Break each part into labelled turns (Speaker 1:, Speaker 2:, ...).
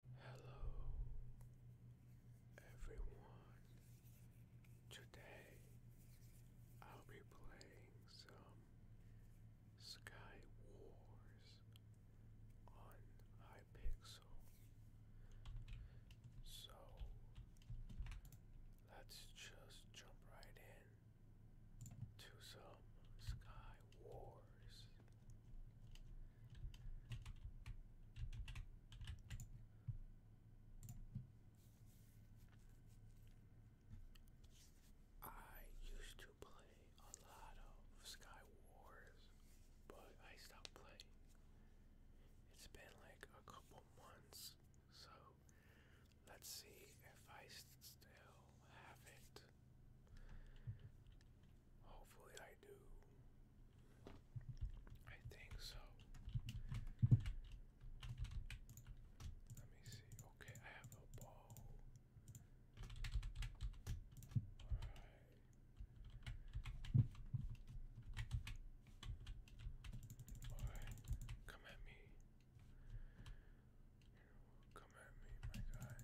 Speaker 1: Hello everyone. Today I'll be playing some Sky Wars on Hypixel. So let's just jump right in to some Sky Wars. I used to play a lot of Sky but I stopped playing. It's been like a couple months, so let's see if I still have it. Hopefully, I do. I think so. Let me see. Okay, I have a ball. Alright. Alright, come at me. Come at me, my guy.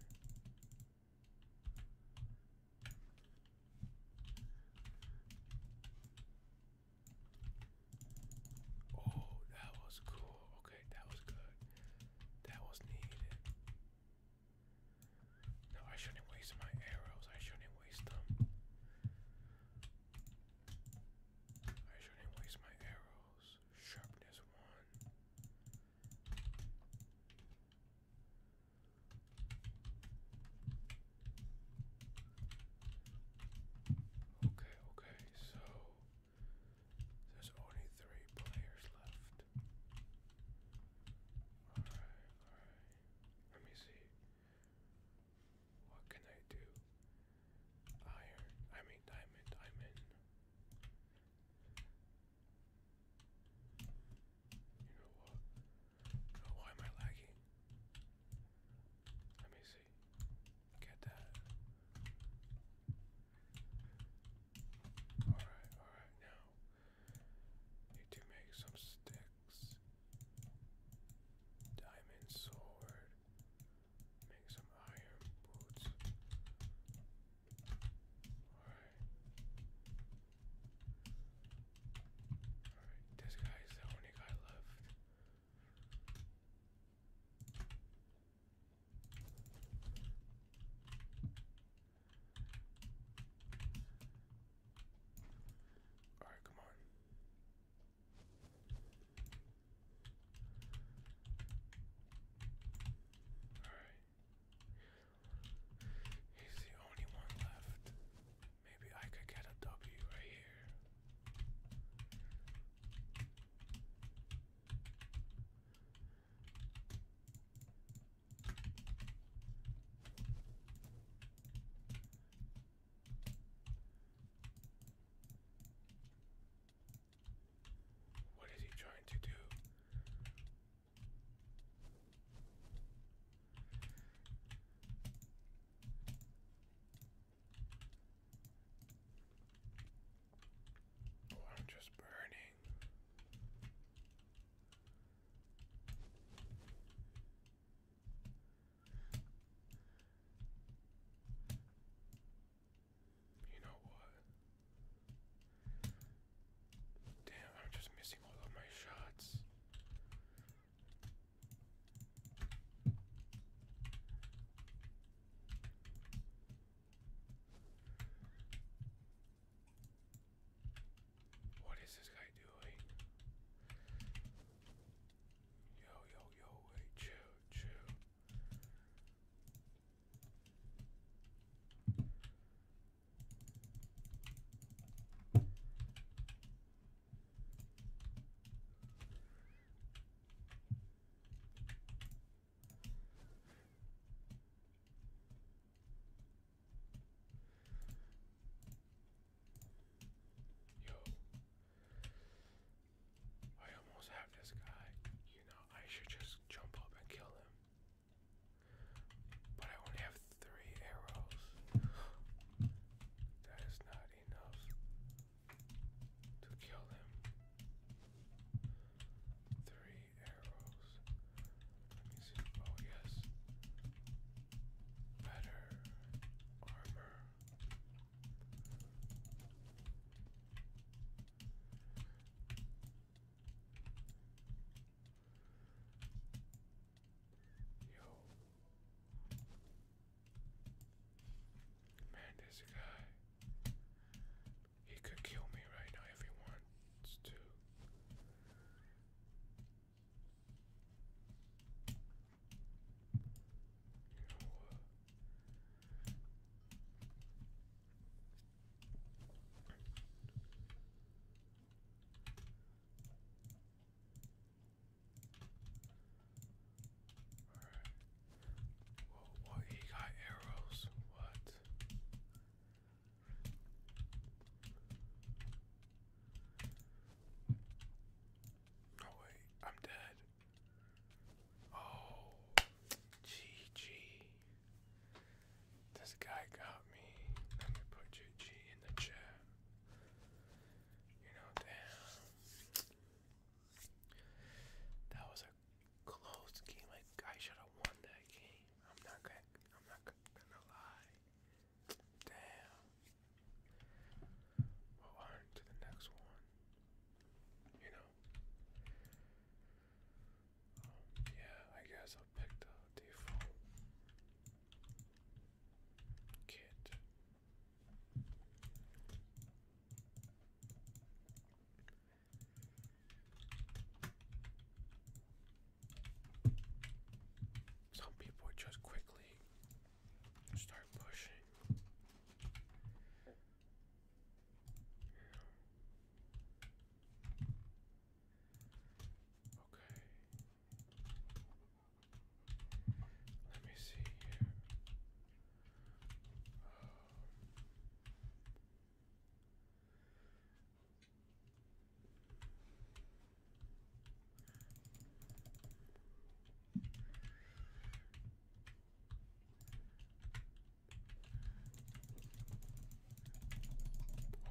Speaker 1: Oh, that was cool. Okay, that was good. That was needed. No, I shouldn't waste my arrows. I shouldn't waste them. I shouldn't waste my arrows. Sharpness one. Okay, okay, so there's only three players left. Alright, alright. Let me see. What can I do? Iron, I mean diamond, diamond. You know what? Oh, why am I lagging? Let me see. Get that. Alright, alright, now. Need to make some sticks. Diamond sword. Make some iron boots. Alright this guy is the only guy left. Alright, come on. Alright. He's the only one left. Maybe I could get a W right here. What is he trying to do? Oh, I'm just burning. You know what? Damn, I'm just missing all of my shots. What is this guy doing? Yo, yo, yo, wait, chill, chill. Yo, I almost have this guy. You know, I should just jump up and kill him. But I only have three arrows. that is not enough to kill him. Three arrows. Let me see. Oh, yes. Better armor. Yo. Man, this guy. He could kill me right now if he wants to. Alright. Whoa, he got arrows. What? No oh, wait, I'm dead. Oh, GG. This guy got me. Let me put GG in the chat. You know, damn. That was a close game. I should have won that game. I'm not gonna. I'm not gonna lie. Damn. Well, on to the next one. You know. Um, yeah, I guess so pick default kit. Some people just quickly start pushing. Okay. Let me see here.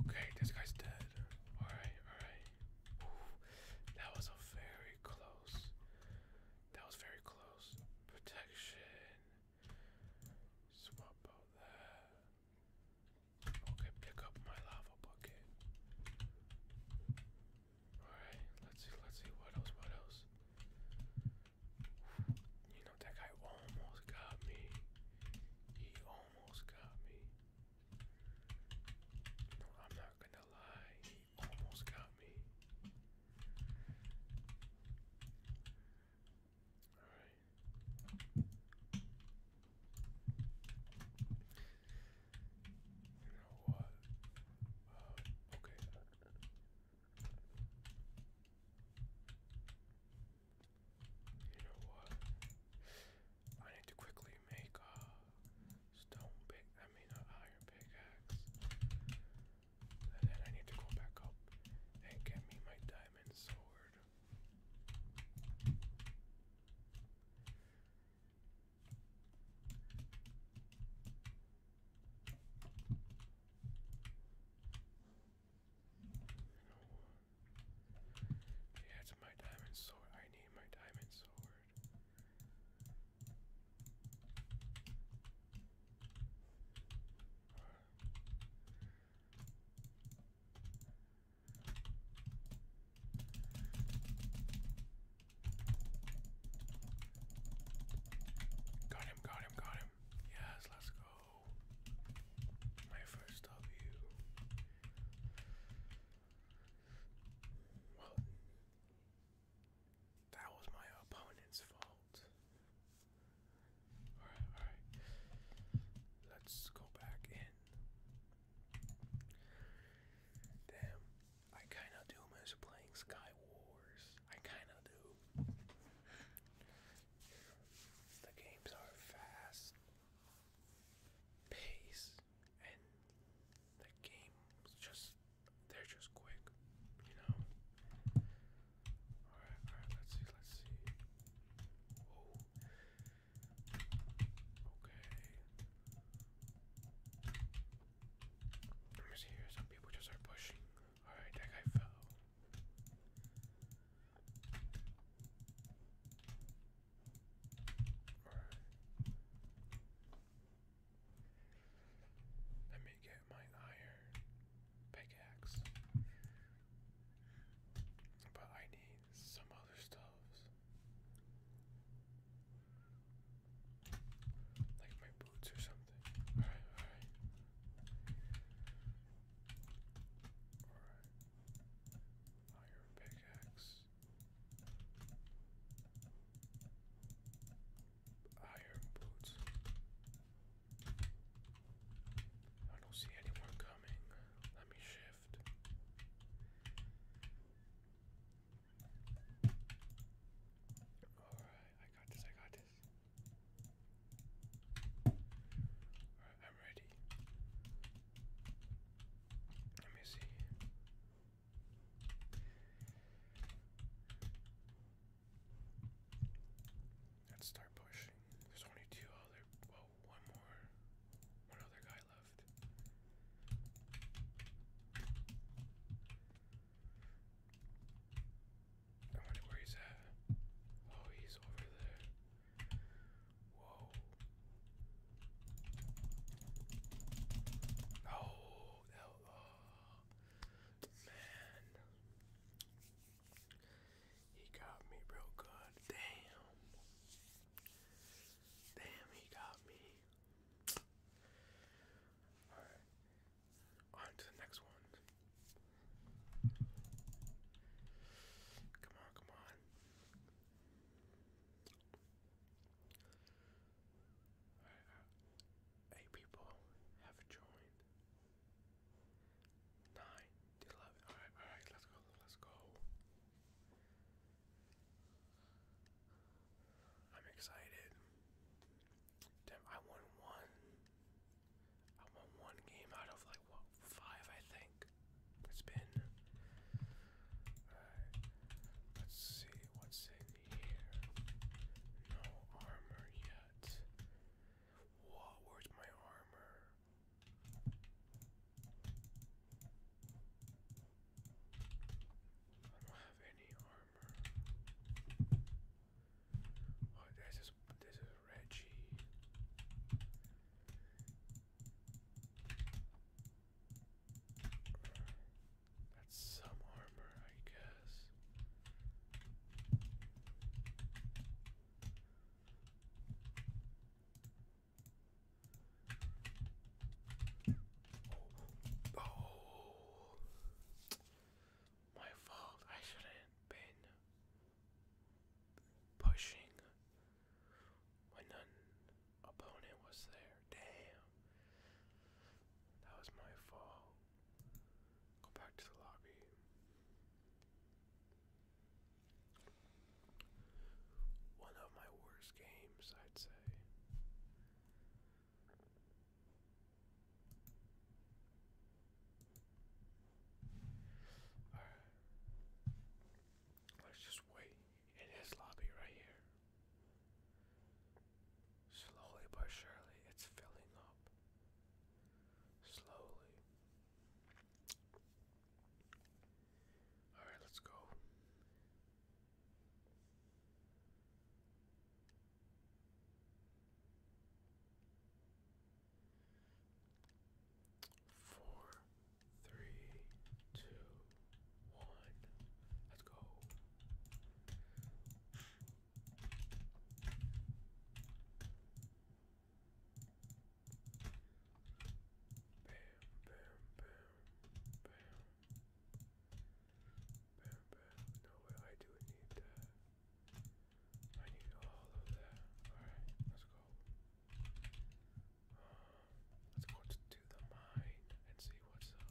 Speaker 1: Okay, this guy's dead. Alright, alright that was a very close. That was very close. Protection. Swap out that. Okay, pick up my lava bucket. Alright, let's see, let's see, what else, what else? You know, that guy almost got me. He almost got me. Bro, I'm not gonna lie, he almost got me. Alright. You know what? Uh, okay. You know what? I need to quickly make a stone pick, I mean an iron pickaxe. And then I need to go back up and get me my diamond sword. She has my diamond sword. I need my diamond sword. Got him, got him, got him. Yes, let's go. My first W that was my opponent's fault. alright. Let's go back in. Damn, I kinda do miss playing Sky Wars. I kinda do. The games are fast pace and the game just they're just quick, you know. Alright, alright, let's see, let's see. Whoa. Okay. here, some people just are pushing. Alright, that guy fell. Right. Let me get my iron pickaxe. But I need some other stuffs. Like my boots or something. alright. Alright. Iron pickaxe. Iron boots. I don't see anyone coming. Let me shift. Alright, I got this, I got this. I'm ready. Let me see. Let's start pushing. There's only two other. Well, more. One other guy left. I wonder where he's at. Oh, he's over there. Whoa. Oh, man. He got me real good. Damn. Damn, he got me. Alright. On to the next one. Come on, come on. Uh, eight people have joined. Nine, eleven. All right, all right. Let's go. Let's go. I'm excited. Damn, I won one. I won one game out of like what five, I think. It's been. Let's see what's in here. No armor yet. where's my armor? I don't have any armor. Oh, this is this is Reggie. That's some armor, I guess. Oh. oh. My fault. I shouldn't been pushing when an opponent was there. Damn. That was my fault. Go back to the lobby. One of my worst games, I'd say. All right. Let's just wait in his lobby right here. Slowly but surely, it's filling up. Slowly. Alright, let's go. Four three, two, one. Let's go. Bam, bam, bam, bam. Bam, bam. No way, I do need that. I need all of that. Alright, let's go. Let's go to the mine and see what's up.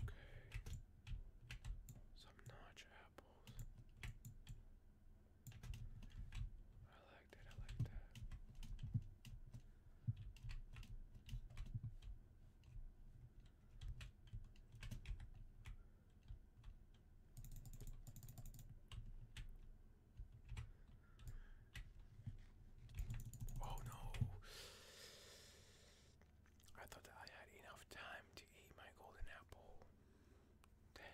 Speaker 1: Okay. Some notch apples. I like that, I like that. Oh no! I thought I had enough time to eat my golden apple. Damn.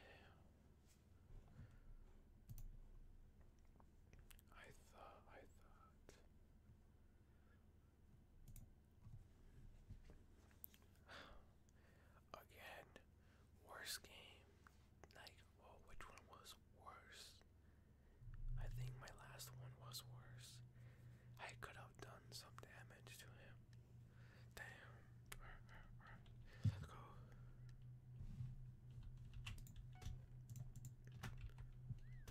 Speaker 1: I thought, I thought. Again, Worst game. Like, well, which one was worse? I think my last one was worse. I could have done some damage to him. Damn. Let's go. Alright. Bam, bam, bam, bam,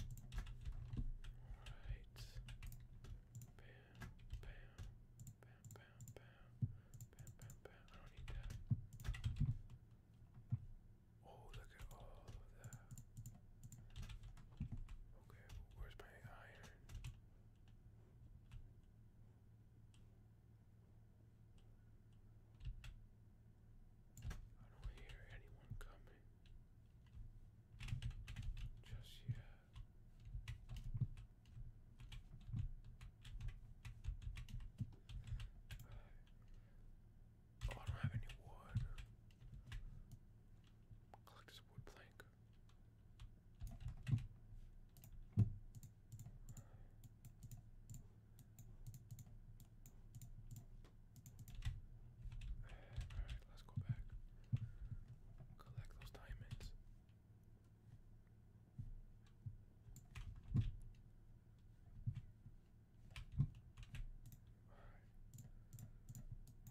Speaker 1: bam, bam, bam, bam. I don't need that. Oh, look at all of that. Okay, where's my iron? I don't hear anyone coming. Just yet. Oh, I don't have any wood. Collect this wood plank. Alright, let's go back. Collect those diamonds. All right.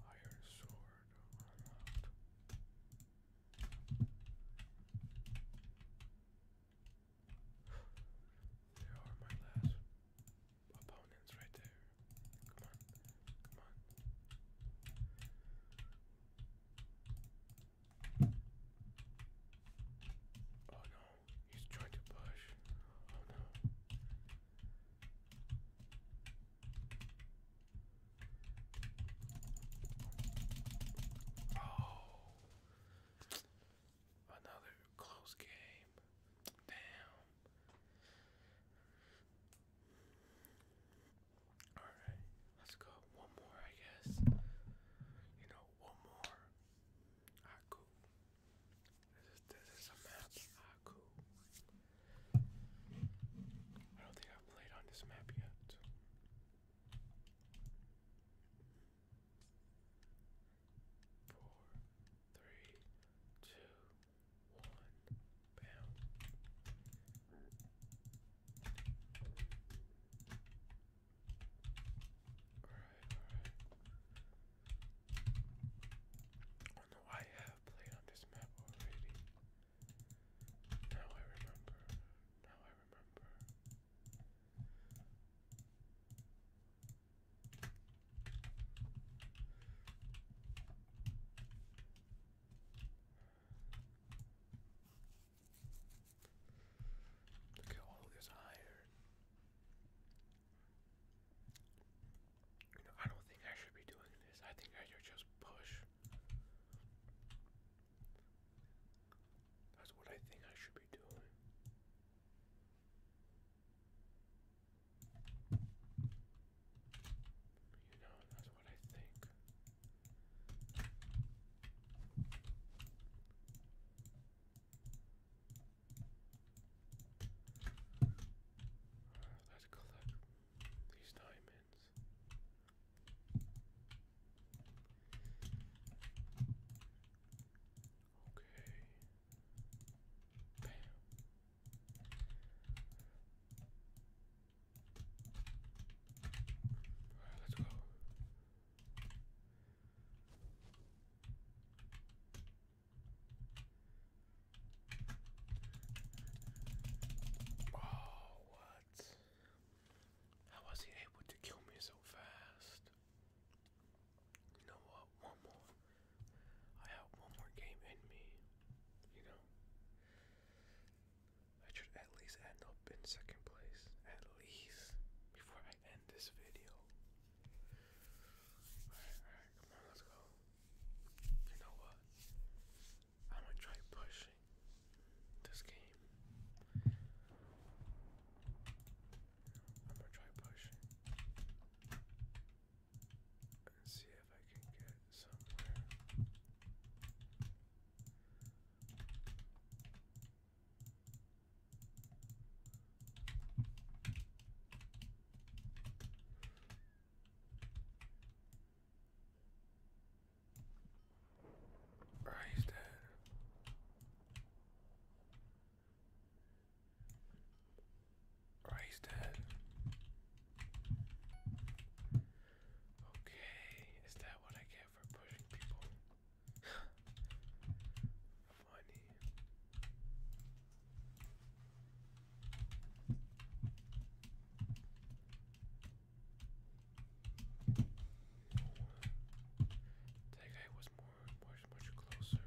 Speaker 1: Iron sword unlocked. There are my last opponents right there. Come on, come on. Oh no, He's trying to push. Oh no. Oh. Another close game. Damn. Alright, let's go. One more, I guess. You know, one more. Aku. This is, a map, I don't think I've played on this map yet. Four, three, two, one, bam. Alright, alright. I have played on this map already. Now I remember. Now I remember. Look at all this iron. I don't think I should be doing this. I think I should just push. That's what I think I should be doing. You know, that's what I think. Let's collect these diamonds. Okay. Bam. let's go. Oh, what? How was he able to kill me so fast? You know what? One more. I have one more game in me. You know? I should at least end up in second place. At least. Before I end this video. Alright, alright, come on, let's go. You know what? I'm gonna try pushing this game. I'm gonna try pushing and see if I can get somewhere. Right, he's Okay, is that what I get for pushing people? Funny. That guy was more, much, much closer. Alright, let's go.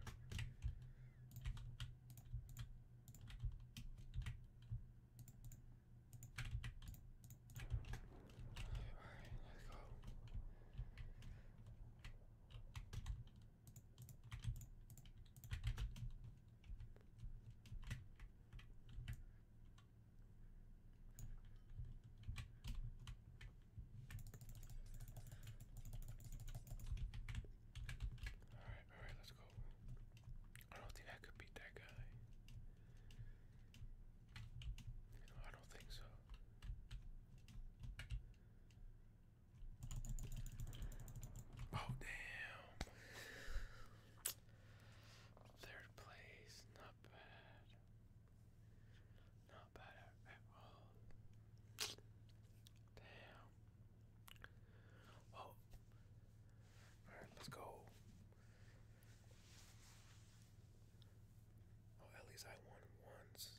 Speaker 1: Alright, alright, let's go. I don't think I could beat that guy. I don't think so. Oh, damn. Third place, not bad. Not bad at, all. Damn. Well, oh. alright, let's go. Oh, at least I won once.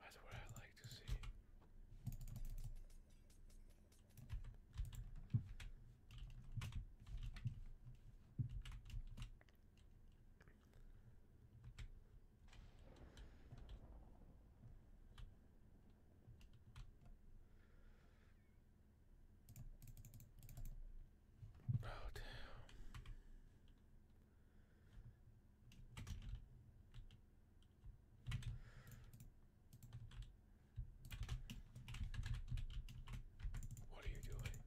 Speaker 1: That's what I like to see. Oh, damn. What are you doing?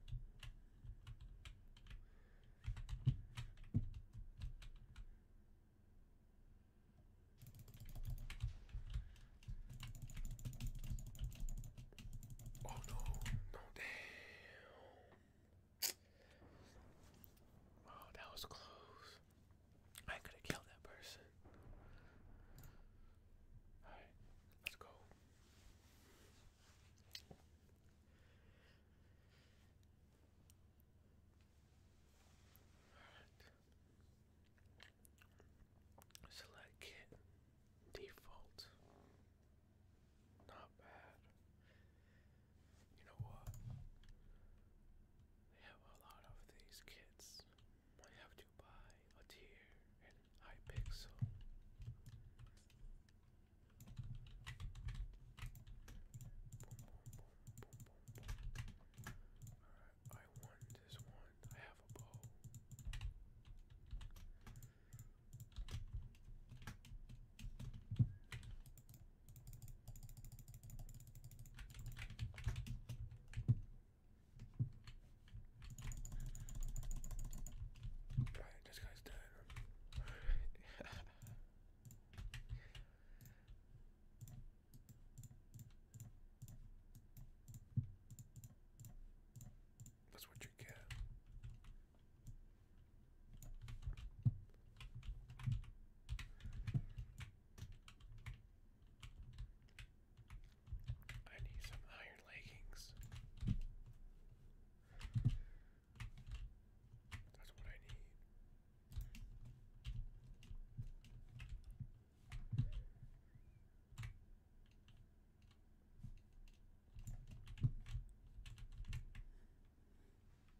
Speaker 1: Oh no, no, damn. Oh, that was close. I could have killed that person. Alright, let's go. Alright. Select kit. Default. Not bad. You know what? They have a lot of these kits. I have to buy a tier and iPixel. Alright, I won this one. I have a bow. Alright, this guy's dead. That's what you get. I need some iron leggings. That's what I need.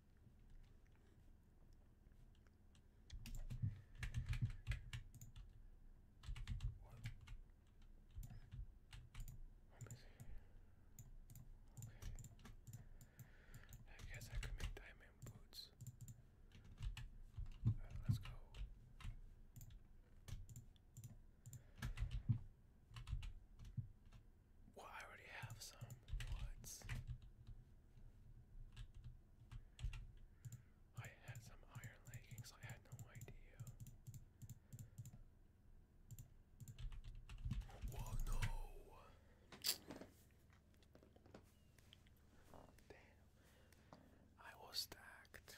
Speaker 1: What? What is I guess I could make diamond boots. Uh, let's go. Well, I already have some. What? I had some iron leggings. I had no idea. Whoa, no! Damn. I was stacked.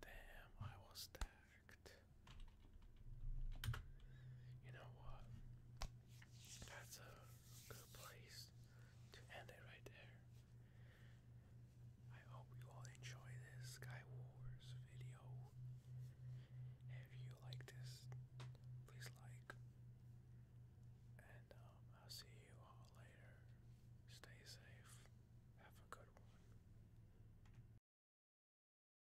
Speaker 1: Damn, I was stacked. You know what? That's a good place to end it right there. I hope you all enjoy this Sky video. If you like this, please like. And um, I'll see you all later. Stay safe. Have a good one.